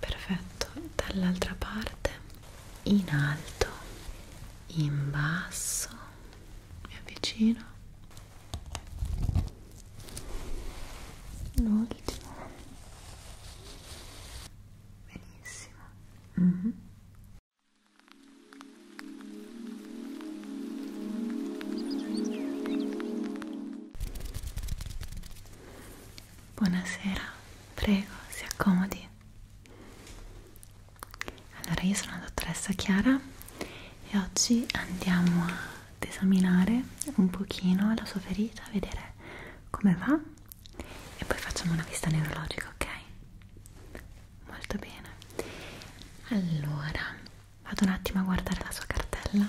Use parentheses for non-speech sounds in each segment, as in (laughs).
perfetto dall'altra parte in alto in basso mi avvicino l'ultimo benissimo mm -hmm. Buonasera, prego, si accomodi. Allora, io sono la dottoressa Chiara e oggi andiamo ad esaminare un pochino la sua ferita, vedere come va e poi facciamo una vista neurologica, ok? Molto bene. Allora, Vado un attimo a guardare la sua cartella.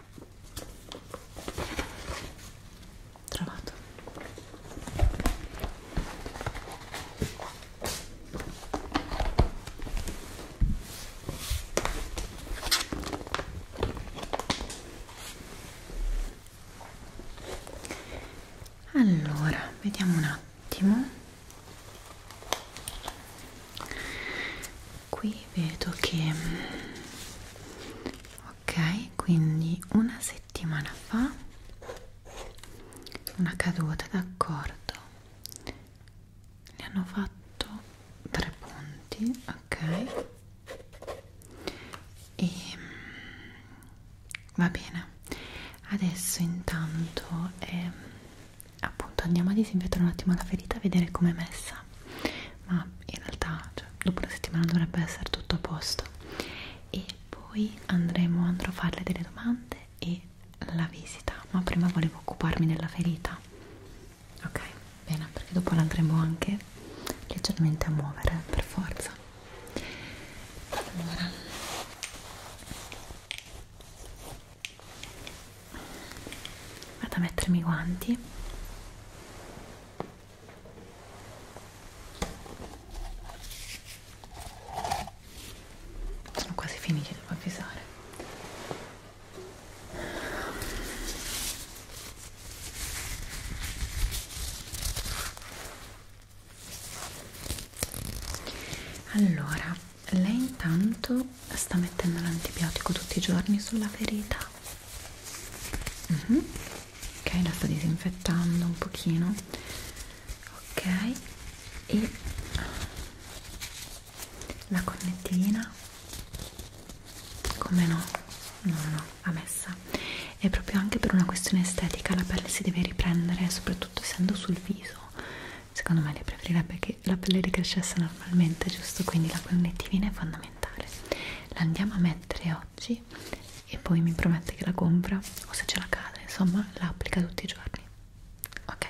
trovato allora vediamo un attimo qui vedo che mm, ok quindi una settimana fa una caduta d'accordo ne hanno fatto tre punti ok e mm, va bene adesso intanto eh, appunto andiamo a disinfettare un attimo la ferita a vedere com'è messa ma in realtà cioè, dopo una settimana dovrebbe essere tutto a posto e poi andremo andrò a farle delle domande e la visita ma prima volevo occuparmi della ferita ok bene perché dopo la andremo anche leggermente a muovere per forza allora vado a mettermi i guanti sono quasi finiti devo avvisare allora lei intanto sta mettendo l'antibiotico tutti i giorni sulla ferita mm -hmm. ok la sta disinfettando un pochino ok e la connettina come no no no va messa e proprio anche per una questione estetica la pelle si deve riprendere soprattutto essendo sul viso secondo me le preferirebbe che la pelle ricrescesse normalmente, giusto? Quindi la collettivina è fondamentale. La andiamo a mettere oggi e poi mi promette che la compra o se ce la cade, insomma, la applica tutti i giorni. Ok.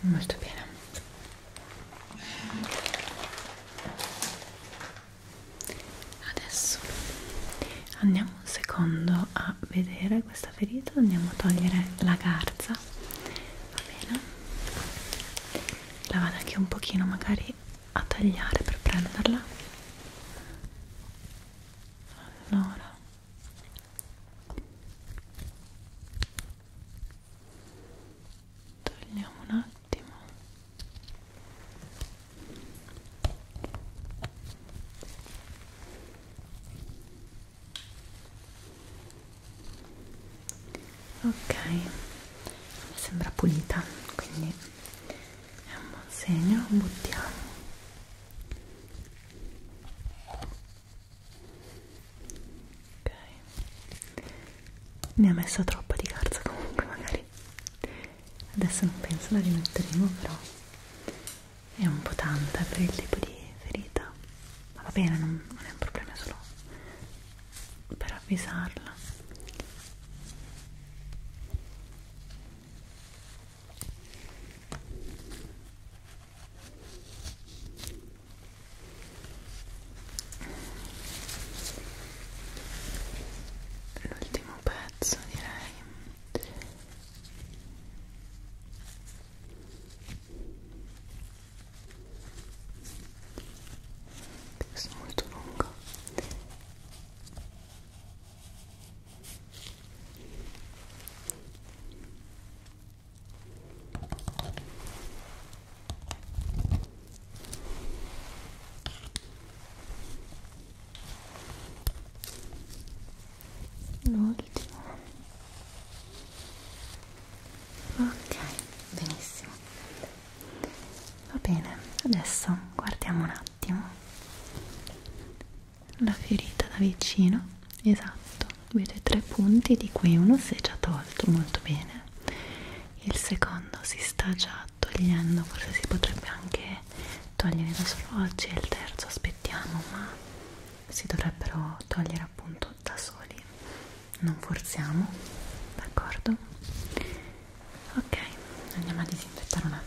Molto bene. Adesso andiamo un secondo a vedere questa ferita, andiamo a togliere la garza, va bene? La vado anche un pochino magari a tagliare per prenderla allora togliamo un attimo ok mi sembra pulita quindi è un buon segno, buttiamo ok ne ha messa troppa di carta comunque magari adesso non penso la rimetteremo però è un po' tanta per il tipo di ferita ma va bene, non, non è un problema, è solo per avvisarla l'ultimo pezzo direi questo è molto lungo l'ultimo ok benissimo va bene adesso guardiamo un attimo la ferita da vicino esatto vede tre punti di cui uno si è già tolto molto bene il secondo si sta già togliendo forse si potrebbe anche togliere da solo oggi e il terzo aspettiamo ma si dovrebbero togliere appunto da soli non forziamo d'accordo ok andiamo a disinfettare un attimo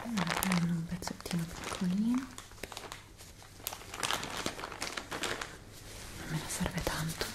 Prendiamo un pezzettino piccolino non me ne serve tanto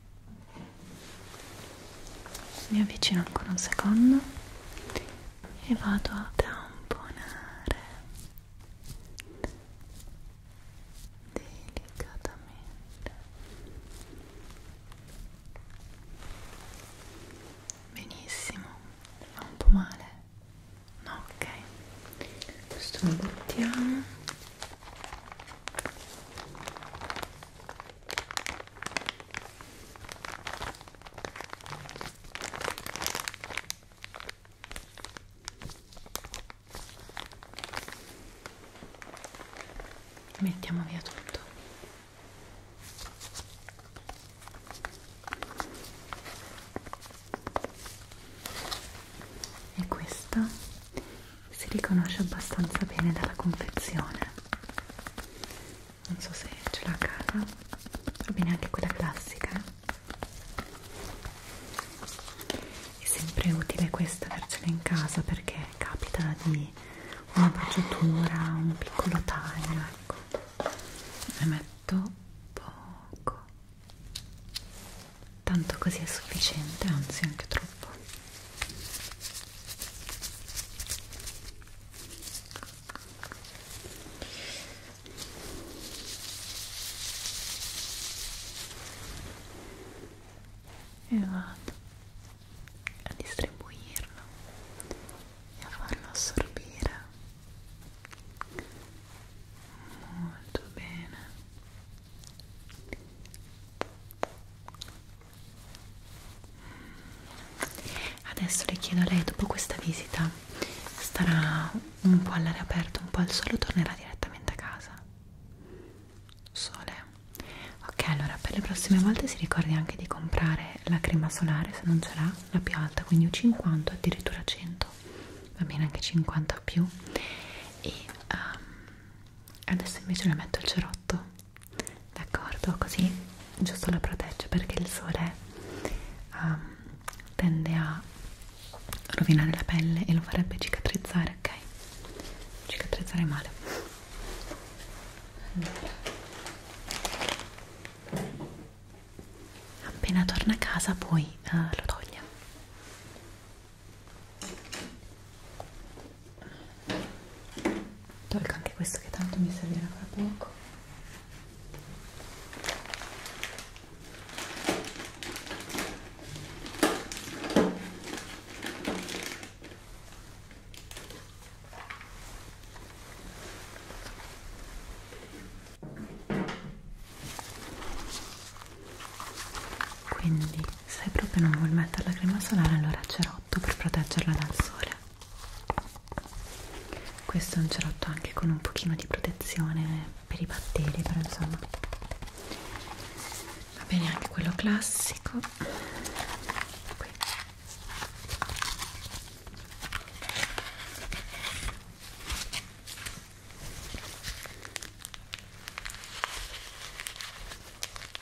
mi avvicino ancora un secondo e vado a tamponare delicatamente benissimo fa un po' male no ok questo lo buttiamo Mettiamo via tutto. E questa si riconosce abbastanza bene dalla confezione non so se ce l'ha a casa va bene anche quella classica è sempre utile questa avercela in casa perché capita di una bruciatura un piccolo taglio ecco ne metto poco tanto così è sufficiente anzi anche troppo e vado a distribuirlo e a farlo assorbire molto bene Adesso le chiedo a lei, dopo questa visita, starà un po' all'aria aperta, un po' al sole o tornerà direttamente a casa? Sole. Ok, allora per le prossime volte si ricordi anche di comprare la crema solare, se non ce l'ha, la più alta, quindi un 50, addirittura 100, va bene anche 50 o più. E um, adesso invece le metto il cerotto d'accordo così giusto la protegge perché il sole um, tende a rovinare la pelle e lo farebbe cicatrizzare ok cicatrizzare male appena torna a casa poi uh, lo toglie tolgo anche questo che tanto mi servirà fra poco quindi se proprio non vuol mettere la crema solare allora cerotto per proteggerla dal sole. Questo è un cerotto anche con un pochino di protezione per i batteri, però insomma va bene anche quello classico. Qui.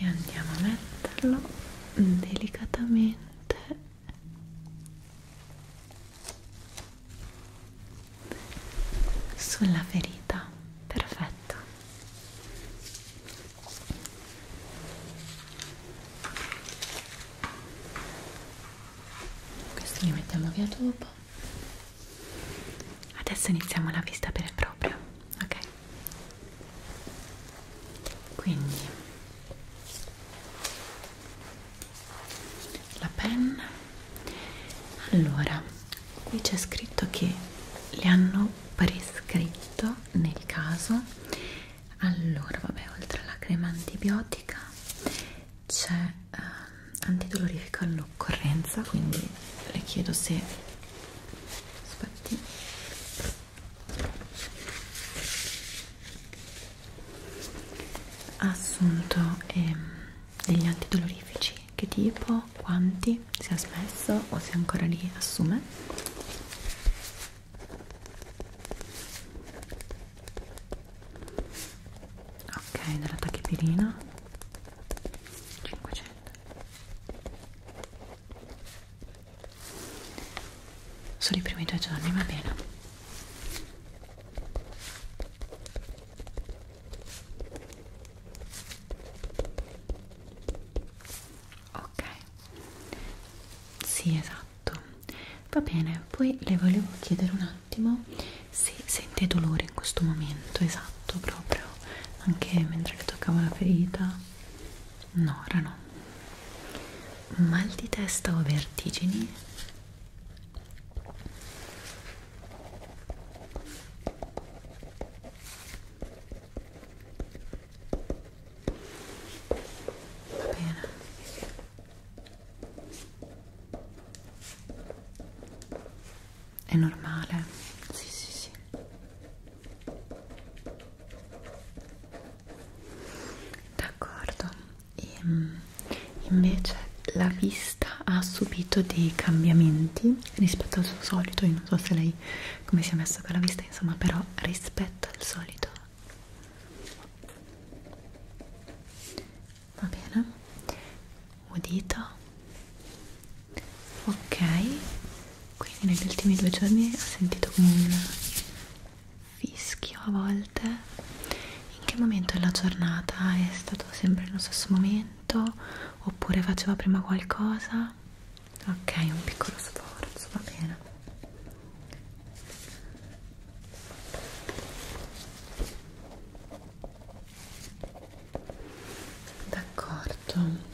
e andiamo a metterlo delicatamente sulla ferita perfetto questi li mettiamo via dopo Adesso iniziamo la vista vera e propria, ok? Quindi la penna. Allora, qui c'è scritto che le hanno prescritto nel caso. Allora, vabbè, oltre alla crema antibiotica c'è eh, antidolorifico all'occorrenza quindi le chiedo se aspetti ha assunto eh, degli antidolorifici che tipo, quanti, si è smesso o se ancora li assume ok della tachipirina 500 solo i primi due giorni va bene ok sì esatto va bene poi le volevo chiedere un attimo se sente dolore in questo momento, esatto, proprio anche mentre le toccavo la ferita, no, ora no. Mal di testa o vertigini? Va bene è normale sì sì sì d'accordo ehm, invece la vista ha subito dei cambiamenti rispetto al suo solito io non so se lei come si è messa con la vista insomma però rispetto al solito va bene udito ok quindi negli ultimi due giorni ho sentito come un fischio a volte in che momento della giornata è stato sempre nello stesso momento oppure faceva prima qualcosa ok un piccolo sforzo va bene d'accordo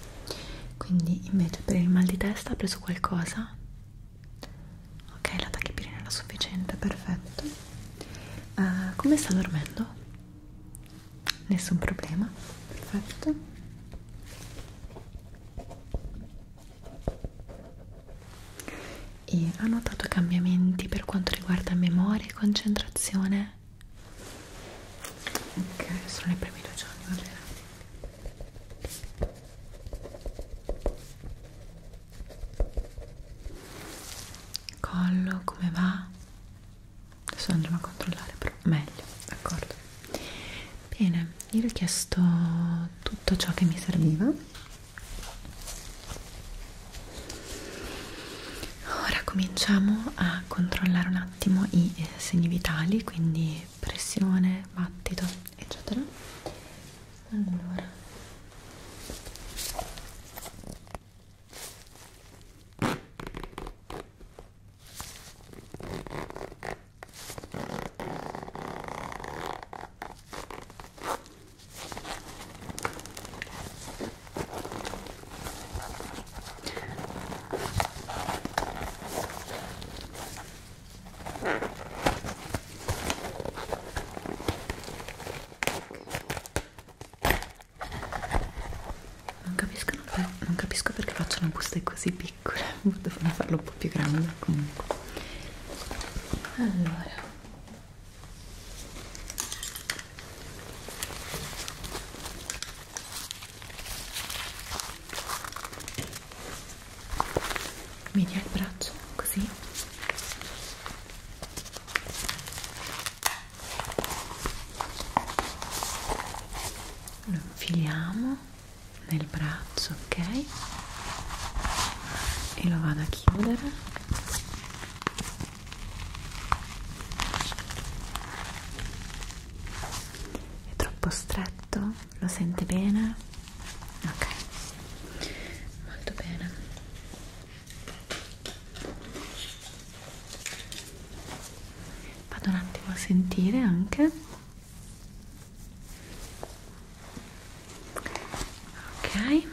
quindi invece per il mal di testa ha preso qualcosa? ok la tachipirina era sufficiente perfetto uh, come sta dormendo? nessun problema perfetto e ha notato cambiamenti per quanto riguarda memoria e concentrazione? Ok, sono i primi due giorni, va bene. Collo, come va? Adesso andremo a controllare, però meglio, d'accordo? Bene, io vi ho chiesto tutto ciò che mi serviva Ora cominciamo a controllare un attimo i eh, segni vitali, quindi pressione, battito, eccetera. Allora. Non capisco, non, non capisco perché facciano buste così piccole, devono (laughs) farlo un po' più grande comunque. Allora Media il braccio così lo infiliamo nel braccio ok e lo vado a chiudere è troppo stretto? Lo sente bene? Ok, molto bene. Vado un attimo a sentire anche. Ok.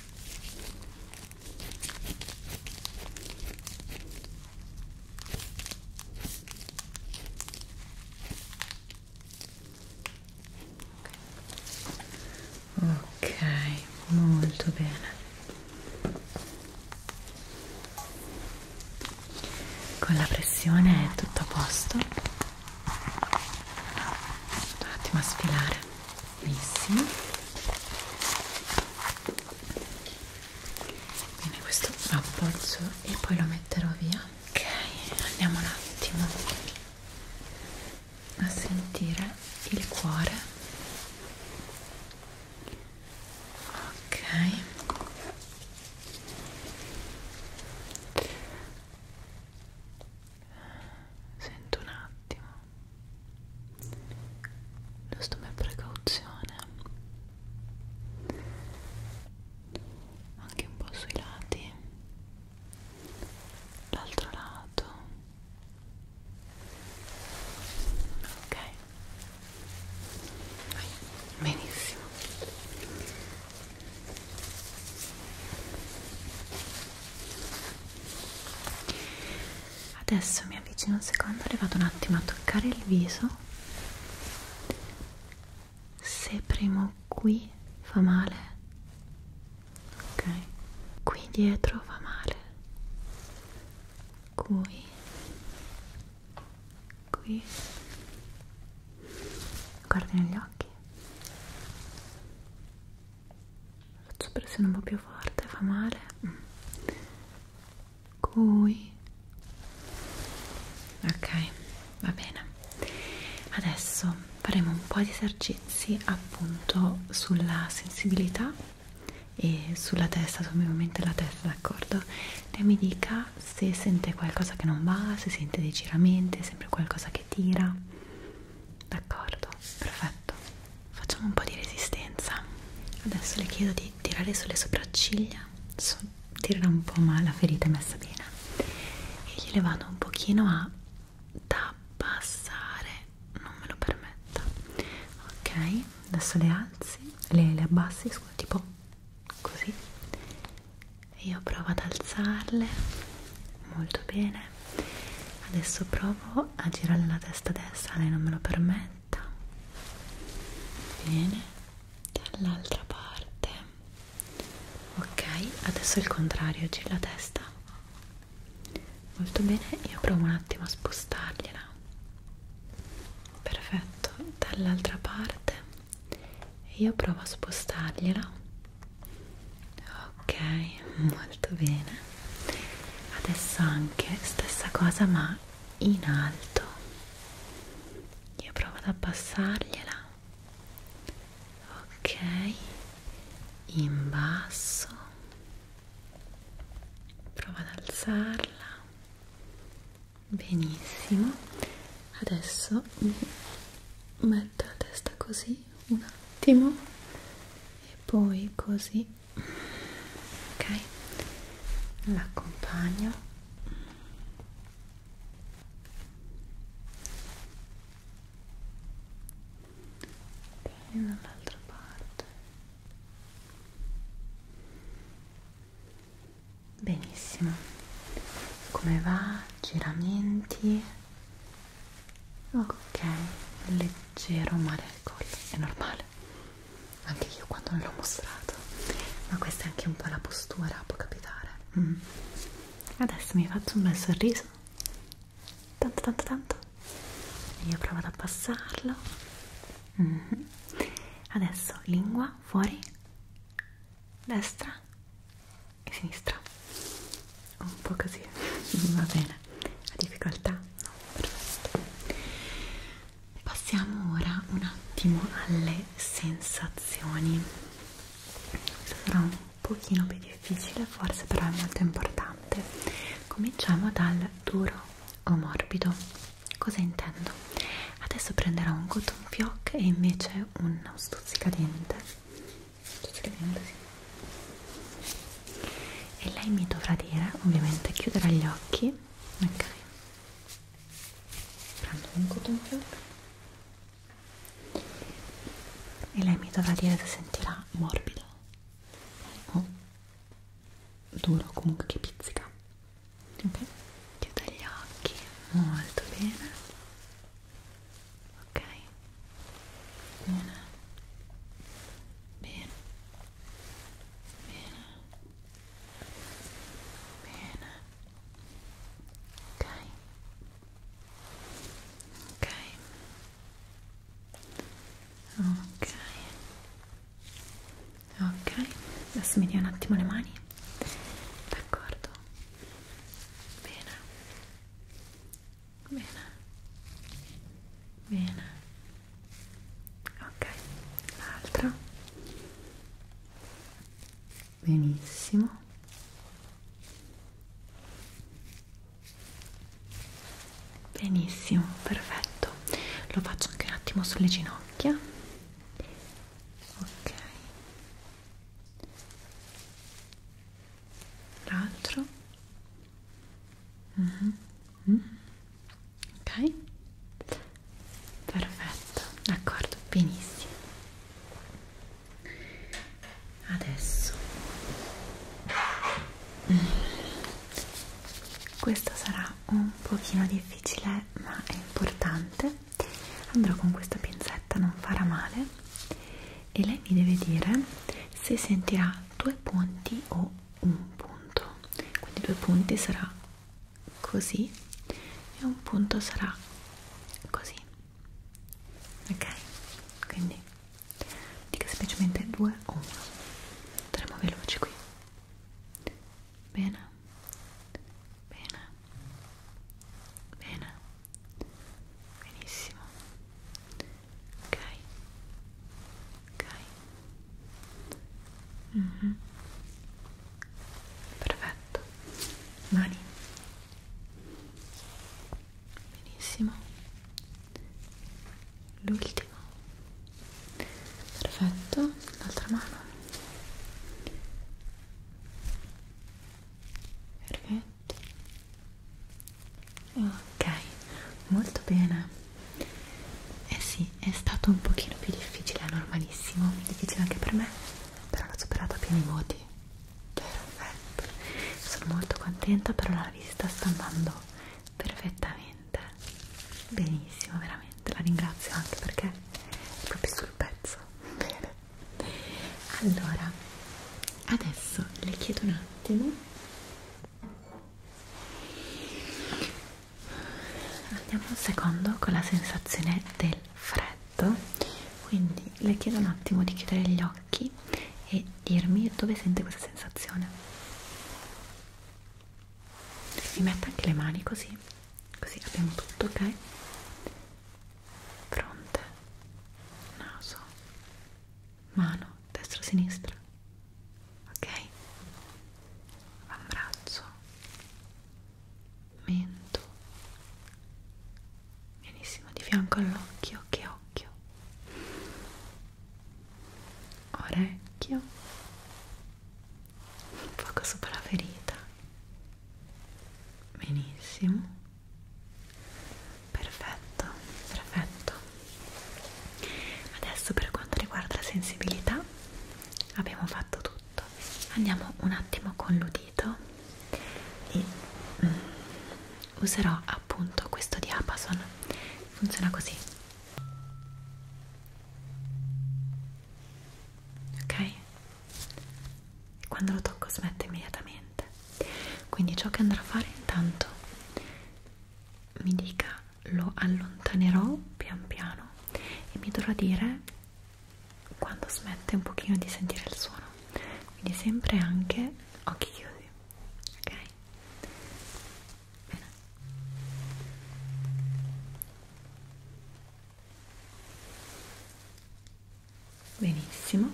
Ok, molto bene. Con la pressione è tutto a posto. Un attimo a sfilare. Benissimo. Bene, questo lo appoggio e poi lo metterò via. Ok, andiamo un attimo a sentire il cuore. Ok sento un attimo giusto per precauzione anche un po' sui lati l'altro lato ok benissimo Adesso mi avvicino un secondo e vado un attimo a toccare il viso. Se premo qui fa male, ok, qui dietro fa male, qui, qui, guardi negli occhi faccio pressione un po' più forte, fa male qui ok, va bene adesso faremo un po' di esercizi appunto sulla sensibilità e sulla testa, sul movimento della testa, d'accordo? Lei mi dica se sente qualcosa che non va, se sente dei giramenti, sempre qualcosa che tira d'accordo, perfetto facciamo un po' di resistenza adesso le chiedo di tirare sulle sopracciglia so, tirerà un po' ma la ferita è messa bene e gliele vado un pochino a abbassare non me lo permetta ok, adesso le alzi le, le abbassi, scusa, tipo così e io provo ad alzarle molto bene adesso provo a girare la testa destra lei non me lo permetta bene dall'altra parte ok adesso il contrario gira la testa molto bene io provo un attimo a spostargliela perfetto dall'altra parte io provo a spostargliela ok molto bene adesso anche stessa cosa ma in alto io provo ad abbassargliela ok in basso provo ad alzarla benissimo adesso mi volta la testa così un attimo e poi così ok l'accompagno ok dall'altra parte benissimo come va giramenti ok leggero male al collo è normale anche io quando non l'ho mostrato ma questa è anche un po' la postura può capitare mm. adesso mi faccio un bel sorriso tanto tanto tanto io provo ad abbassarlo mm -hmm. adesso lingua fuori destra e sinistra un po' così (laughs) va bene la difficoltà no perfetto passiamo ora un attimo alle sensazioni sarà un pochino più difficile forse però è molto importante cominciamo dal duro o morbido cosa intendo adesso prenderò un cotton fioc e invece uno stuzzicadente sto scrivendo sì e lei mi dovrà dire ovviamente chiuderà gli occhi ok prendo un cotton più e lei mi dovrà dire se sentirà morbido o duro comunque che pizzica ok chiuda gli occhi molto bene ok una bene bene bene ok ok ok ok adesso mi dia un attimo le mani d'accordo bene bene bene ok l'altra benissimo benissimo perfetto lo faccio anche un attimo sulle ginocchia ok l'altro mm -hmm. mm. ok perfetto d'accordo benissimo adesso mm. questo sarà un pochino difficile ma è importante andrò con questa pinzetta non farà male e lei mi deve dire se sentirà due punti o un punto quindi due punti sarà così e un punto sarà così ok quindi dica semplicemente due o uno andremo veloci qui bene bene bene benissimo ok ok mm -hmm. perfetto mani benissimo l'ultimo perfetto l'altra mano perfetto ok molto bene eh sì è stato un pochino più difficile è normalissimo difficile anche per me però l'ho superata a pieni voti perfetto sono molto contenta però la visita sta andando perfettamente benissimo veramente la ringrazio anche perché è proprio sul pezzo bene allora adesso le chiedo un attimo andiamo un secondo con la sensazione del freddo quindi le chiedo un attimo di chiudere gli occhi e dirmi dove sente questa sensazione mi metta anche le mani così così abbiamo tutto ok fronte, naso, mano, destra, sinistra, ok? L'ambraccio, mento, benissimo, di fianco all'occhio, che occhio, orecchio, un poco sopra la ferita, benissimo Perfetto, perfetto. Adesso per quanto riguarda la sensibilità abbiamo fatto tutto. Andiamo un attimo con l'udito e mm, userò appunto questo diapason. Funziona così. Ok? E quando lo tocco smette immediatamente niente quindi ciò che andrò a fare intanto mi dica lo allontanerò pian piano e mi dovrà dire quando smette un pochino di sentire il suono quindi sempre anche occhi chiusi ok bene benissimo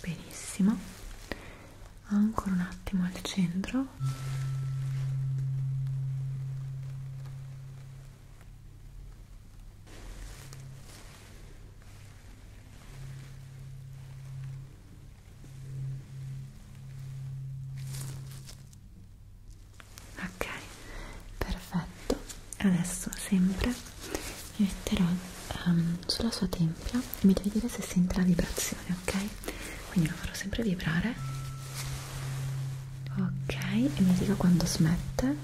benissimo ancora un attimo al centro ok perfetto adesso sempre mi metterò um, sulla sua tempia e mi devi dire se sente la vibrazione ok quindi lo farò sempre vibrare ok e mi dica quando smette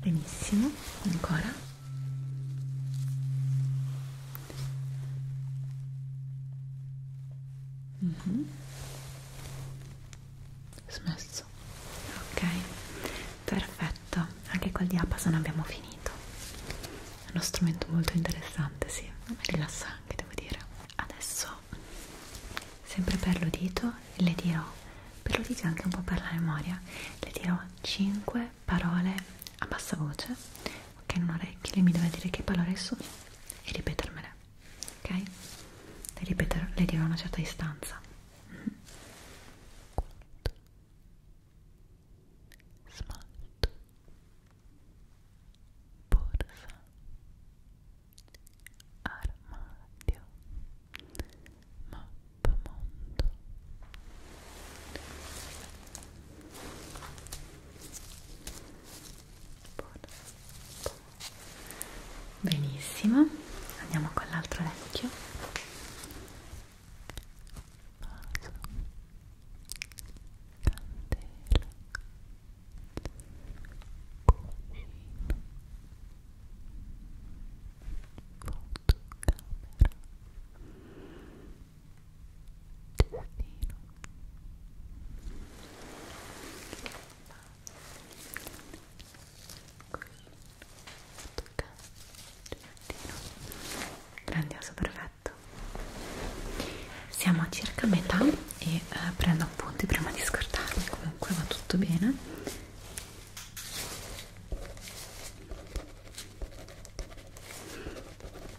benissimo ancora Mm -hmm. Smesso. Ok, perfetto. Anche col diapason abbiamo finito. È uno strumento molto interessante, sì. Mi rilassa anche, devo dire. Adesso, sempre per l'udito, le dirò, per l'udito e anche un po' per la memoria, le dirò 5 parole a bassa voce. Ok, non orecchie, lei mi deve dire che parole sono e ripetermele, ok? Le ripeterò, le dirò a una certa distanza. Mm. Quanto smalto, borsa, armadio, mappamondo. Benissimo, andiamo con l'altro orecchio. Vaso, candela, cucina, fotocamera, destino grandioso perfetto siamo a circa metà e eh, prendo appunti prima di scordarmi comunque va tutto bene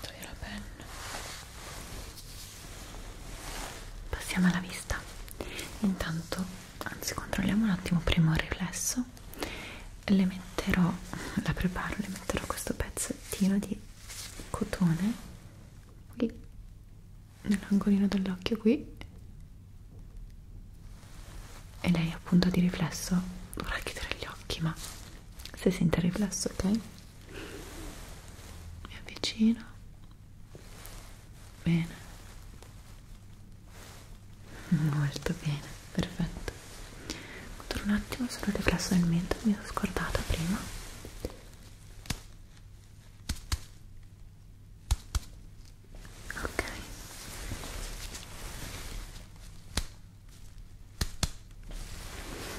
Togli la penna. Passiamo alla vista. Intanto, anzi controlliamo un attimo prima il riflesso. Le metterò, la preparo, le metterò questo pezzettino di cotone qui, nell'angolino dell'occhio qui. E lei appunto di riflesso dovrà chiudere gli occhi, ma se sente il riflesso ok mi avvicino bene molto bene perfetto controllo un attimo solo il riflesso del mento mi sono scordata prima ok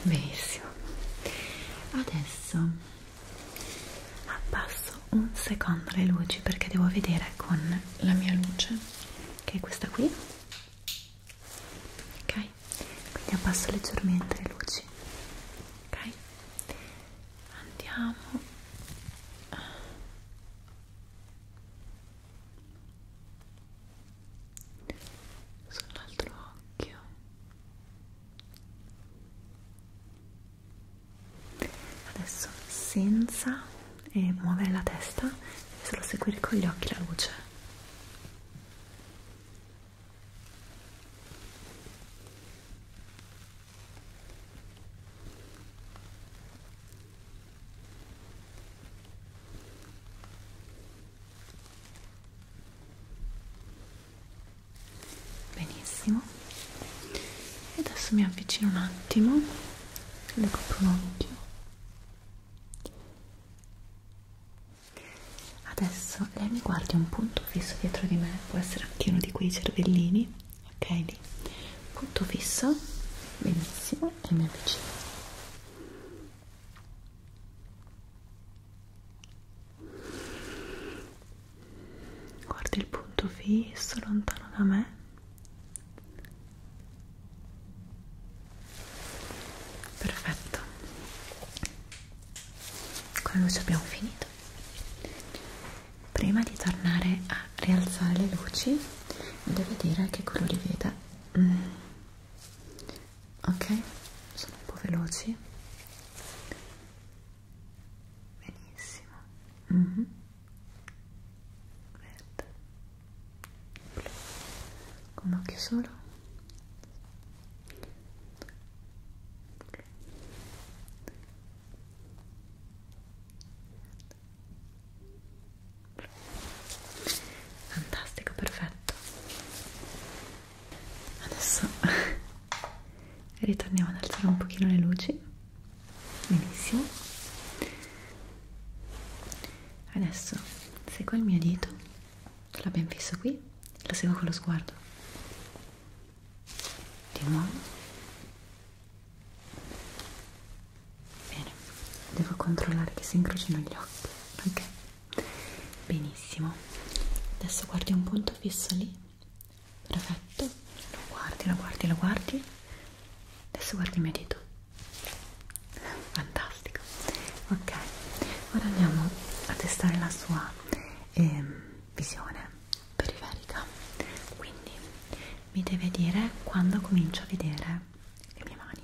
benissimo adesso abbasso un secondo le luci perché devo vedere con la mia luce che è questa qui ok quindi abbasso leggermente le luci ok andiamo sull'altro occhio adesso senza eh, muovere la testa devi solo seguire con gli occhi la luce benissimo e adesso mi avvicino un attimo le copro un occhio adesso lei mi guardi un punto fisso dietro di me può essere anche uno di quei cervellini ok lì punto fisso benissimo e mi avvicino guardi il punto fisso lontano da me perfetto con la luce abbiamo finito prima di tornare a rialzare le luci devo dire che quello riveda mm. ok sono un po' veloci benissimo mm -hmm. verde Blu. con un occhio solo Blu fantastico, perfetto adesso (laughs) ritorniamo ad alzare un pochino le luci benissimo adesso seguo il mio dito l'ho ben fisso qui lo seguo con lo sguardo di nuovo Bene, devo controllare che si incrocino gli occhi, ok? Benissimo. Adesso guardi un punto fisso lì. Perfetto. Lo guardi, lo guardi, lo guardi. Adesso guardi il mio dito. Fantastico. Ok, ora andiamo a testare la sua eh, visione periferica. Quindi mi deve dire quando comincio a vedere le mie mani.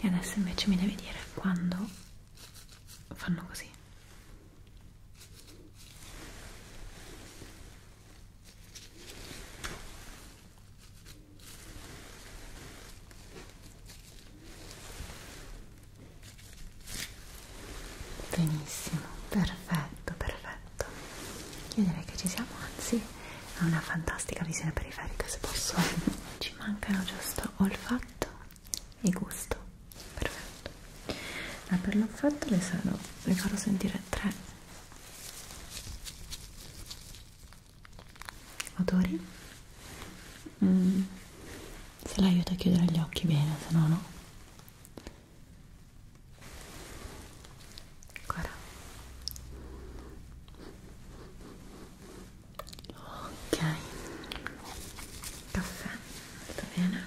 e adesso invece mi devi dire quando fanno così benissimo perfetto perfetto tutto io direi che ci siamo anzi ha una fantastica visione periferica se posso (laughs) ci mancano giusto olfatto e gusto perfetto ma per l'olfatto le, sarò, le farò sentire tre odori mm. se l'aiuto a chiudere gli occhi bene se no no Ancora. Ok. Caffè, molto bene.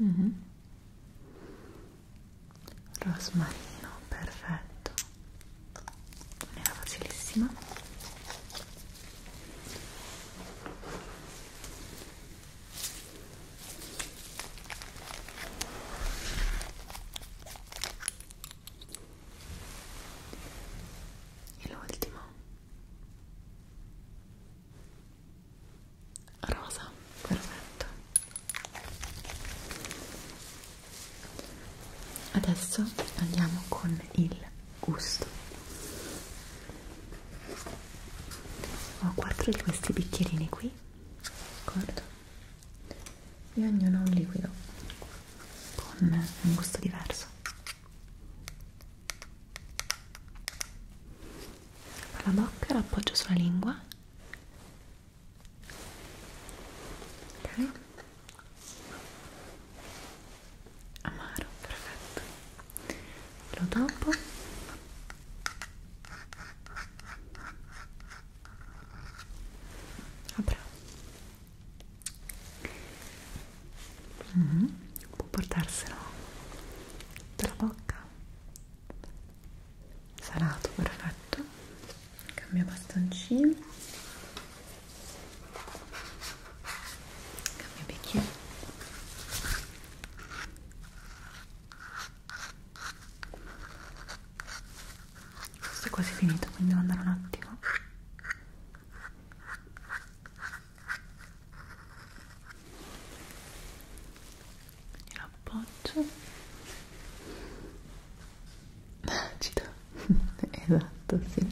Mm -hmm. Rosmarino, perfetto era facilissima e l'ultimo rosa perfetto adesso andiamo con il gusto ho quattro di questi bicchierini qui d'accordo e ognuno un liquido con un gusto diverso con la bocca l'appoggio sulla lingua ok amaro perfetto lo dopo ah, bravo mm -hmm. può portarselo dalla bocca salato perfetto cambia bastoncino cambia bicchiere questo è quasi finito quindi devo andare un attimo e lo appoggio acido (laughs) esatto sì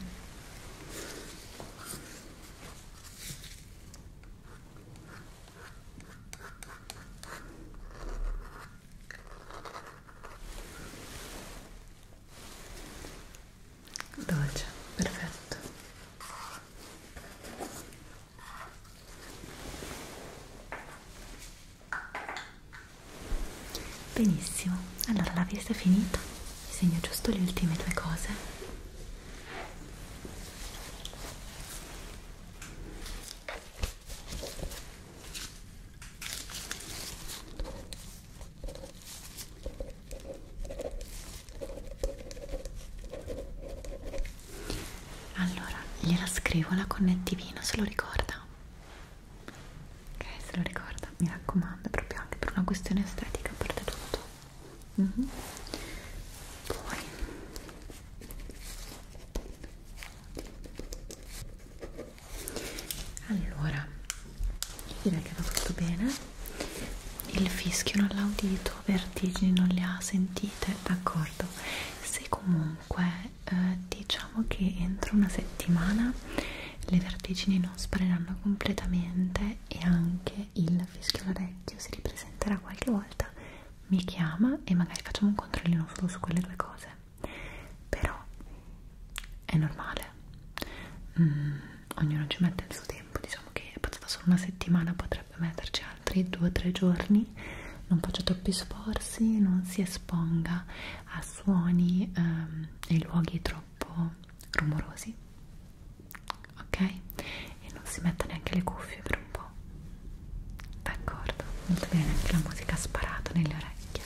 dolce perfetto Benissimo, allora la vista è finita, vi segno giusto le ultime due cose. Allora, gliela scrivo la connettivino, se lo ricorda ok se lo ricorda mi raccomando proprio anche per una questione estetica a parte tutto mm -hmm. poi allora direi che va tutto bene il fischio non l'ha udito vertigini non le ha sentite d'accordo se comunque eh, diciamo che entro una settimana le vertigini non spariranno completamente e anche il fischio all'orecchio si ripresenterà qualche volta mi chiama e magari facciamo un controllino solo su quelle due cose però è normale mm, ognuno ci mette il suo tempo diciamo che è passata solo una settimana potrebbe metterci altri due o tre giorni non faccia troppi sforzi non si esponga a suoni um, ehm, e luoghi troppo rumorosi ok? e non si mette neanche le cuffie per un po' d'accordo? molto bene, anche la musica ha sparato nelle orecchie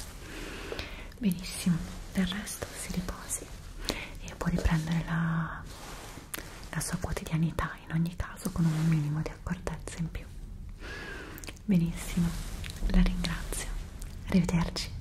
benissimo, del resto si riposi e può riprendere la, la sua quotidianità in ogni caso con un minimo di accortezza in più Benissimo, la ringrazio. Arrivederci.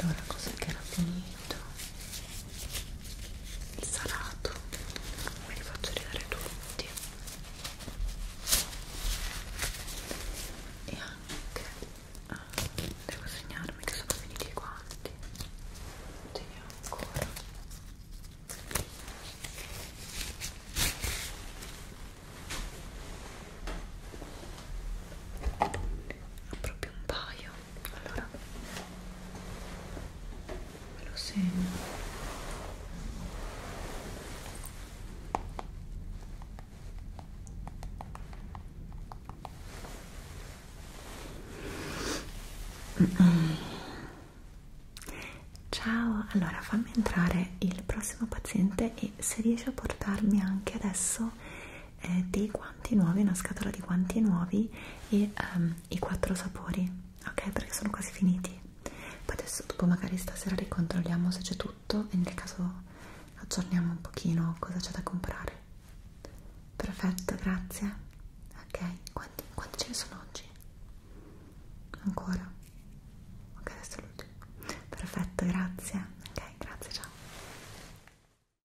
Allora, cos'è che era finito? il salato ve li faccio ridere tutti e anche ah, devo segnarmi che sono finiti i guanti teniamo ancora ha proprio un paio meglio allora me lo segno Ciao, allora fammi entrare il prossimo paziente e se riesci a portarmi anche adesso eh, dei guanti nuovi, una scatola di guanti nuovi e um, i quattro sapori, ok? Perché sono quasi finiti. Poi adesso dopo magari stasera ricontrolliamo se c'è tutto e nel caso aggiorniamo un pochino cosa c'è da comprare. Perfetto, grazie. Ok, quanti, quanti ce ne sono oggi? Ancora? Ok, adesso l'ultimo. Perfetto, grazie. Ok, grazie, ciao.